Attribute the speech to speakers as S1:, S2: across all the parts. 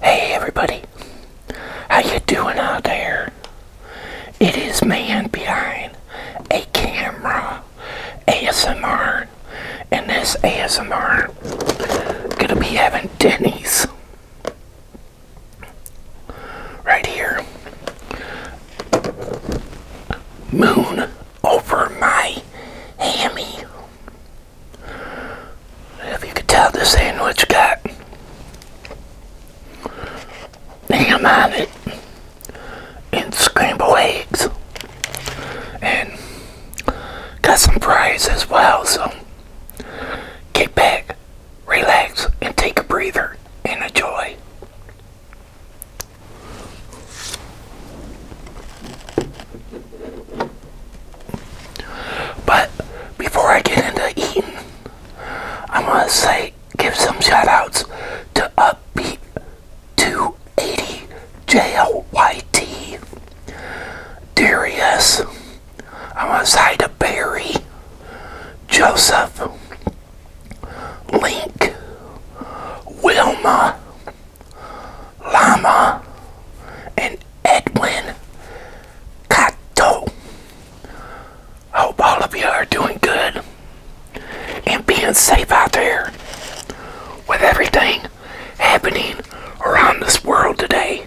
S1: Hey everybody, how you doing out there? It is man behind a camera ASMR, and this ASMR gonna be having Denny's right here. Moon over my hammy. If you could tell, this sandwich got ham on it and scrambled eggs and got some fries as well. So get back, relax, and take a breather and enjoy. But before I get into eating, I want to say give some shout outs to Upbeat 280 JLYT, Darius, I want to say to Barry, Joseph, Link, Wilma, Llama, and Edwin Cato. Hope all of you are doing good and being safe out there with everything happening around this world today.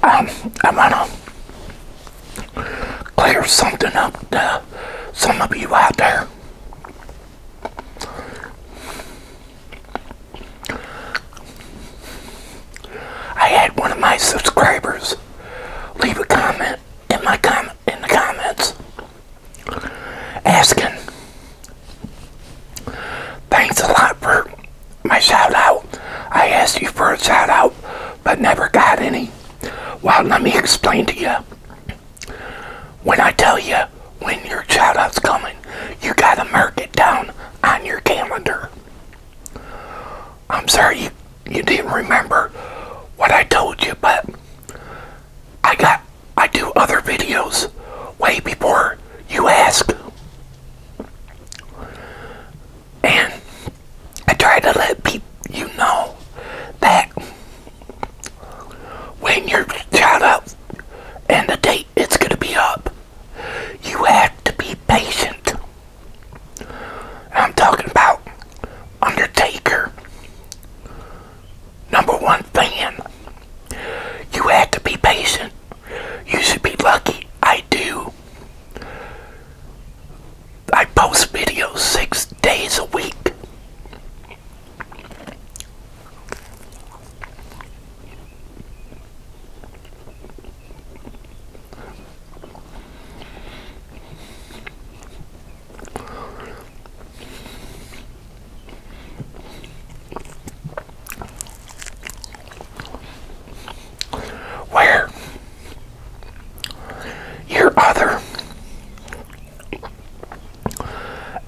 S1: I'm going to clear something up to some of you out there. I had one of my subscribers leave a comment in my comment in the comments asking. Thanks a lot for my shout out. I asked you for a shout out, but never got any. Well, let me explain to you. When I tell you when your shout out's coming, you gotta mark it down on your calendar. I'm sorry you, you didn't remember what I told you, but I got I do other videos way before you ask. And I try to let people you know that when you're shot up and the date it's going to be up, you have to be patient. I'm talking about Undertaker, number one fan. You had to be patient. You should be lucky. I do. I post videos six days a week. Where your other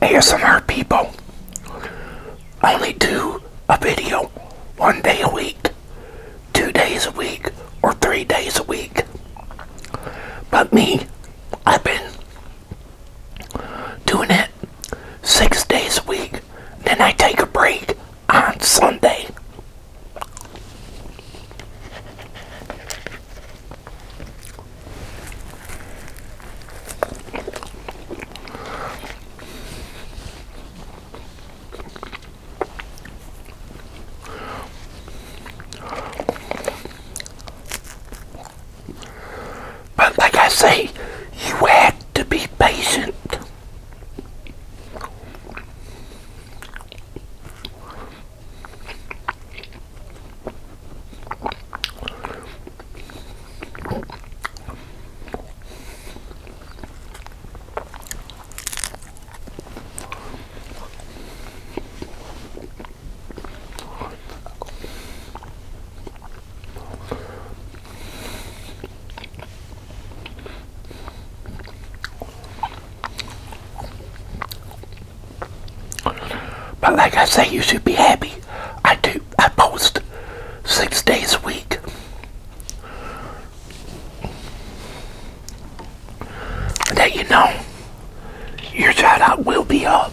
S1: ASMR people only do a video one day a week two days a week or three days a week. But me, I've been doing it six days a week. Then I take a break on Sunday. But like I say, you had to be patient. But like I say, you should be happy. I do. I post six days a week that you know your shout will be up.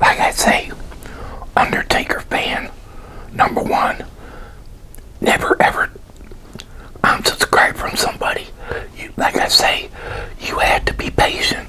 S1: like I say, Undertaker fan number one. Never ever unsubscribe um, from somebody. You, like I say, you had to be patient.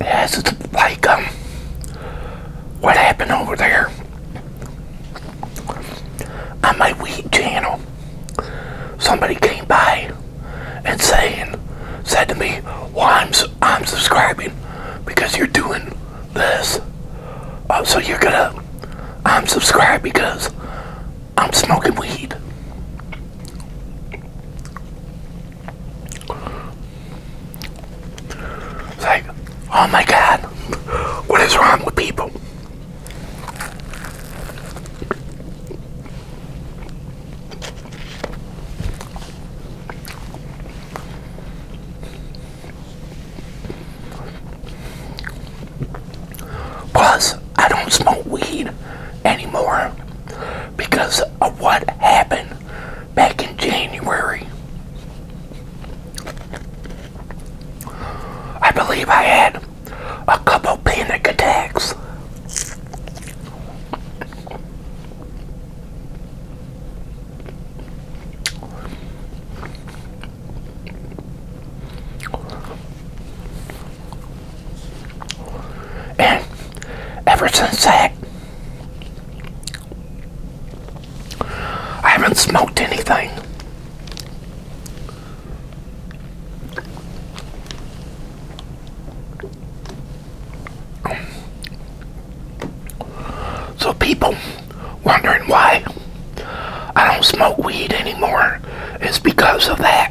S1: Yes, it's like um, what happened over there on my weed channel. Somebody came by and saying, said to me, "Well, I'm I'm subscribing because you're doing this. Uh, so you're gonna I'm subscribed because I'm smoking weed. like, oh my god, what is wrong with people? Plus, I don't smoke weed anymore because of what happened back in January. I believe I had a couple panic attacks. And ever since that, I haven't smoked anything. So people wondering why I don't smoke weed anymore is because of that.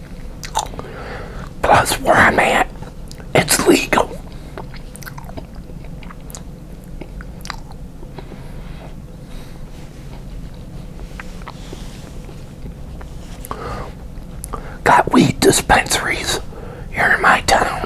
S1: Plus, where I'm at, it's legal. Got weed dispensaries here in my town.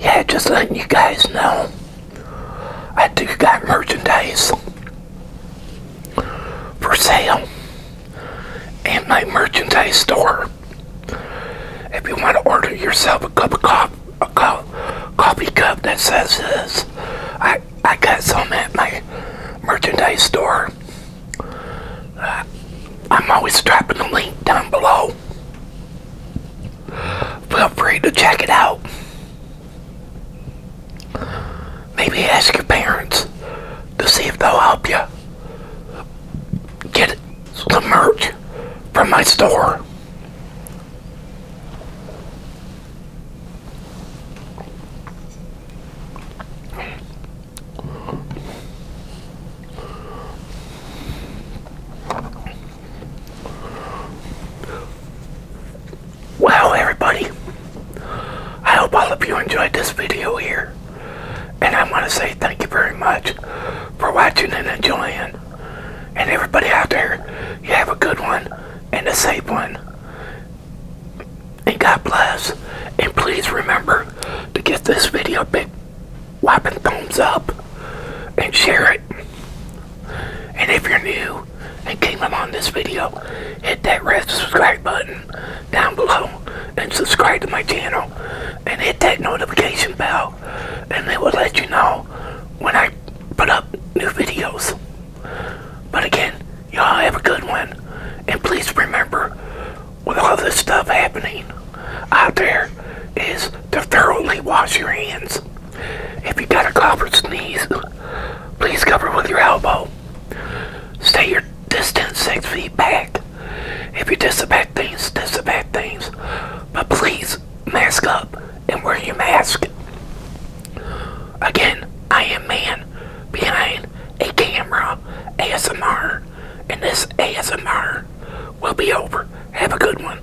S1: Yeah, just letting you guys know, I do got merchandise for sale at my merchandise store. If you want to order yourself a cup of coffee, a coffee cup that says this, I, I got some at my merchandise store. Uh, I'm always dropping the link down below. Feel free to check it out. Maybe ask your parents to see if they'll help you get the merch from my store. Well, everybody. I hope all of you enjoyed this video here. And I want to say thank you very much for watching and enjoying. And everybody out there, you have a good one and a safe one. And God bless. And please remember to give this video a big whopping thumbs up and share it. And if you're new, and came on this video, hit that red subscribe button down below and subscribe to my channel and hit that notification bell and it will let you know when I put up new videos. But again, y'all have a good one and please remember with all this stuff happening out there is to thoroughly wash your hands. If you got a cough or sneeze, please cover with your elbow stay your distance six feet back. If you disinfect things, disinfect things. But please mask up and wear your mask. Again, I am man behind a camera ASMR and this ASMR will be over. Have a good one.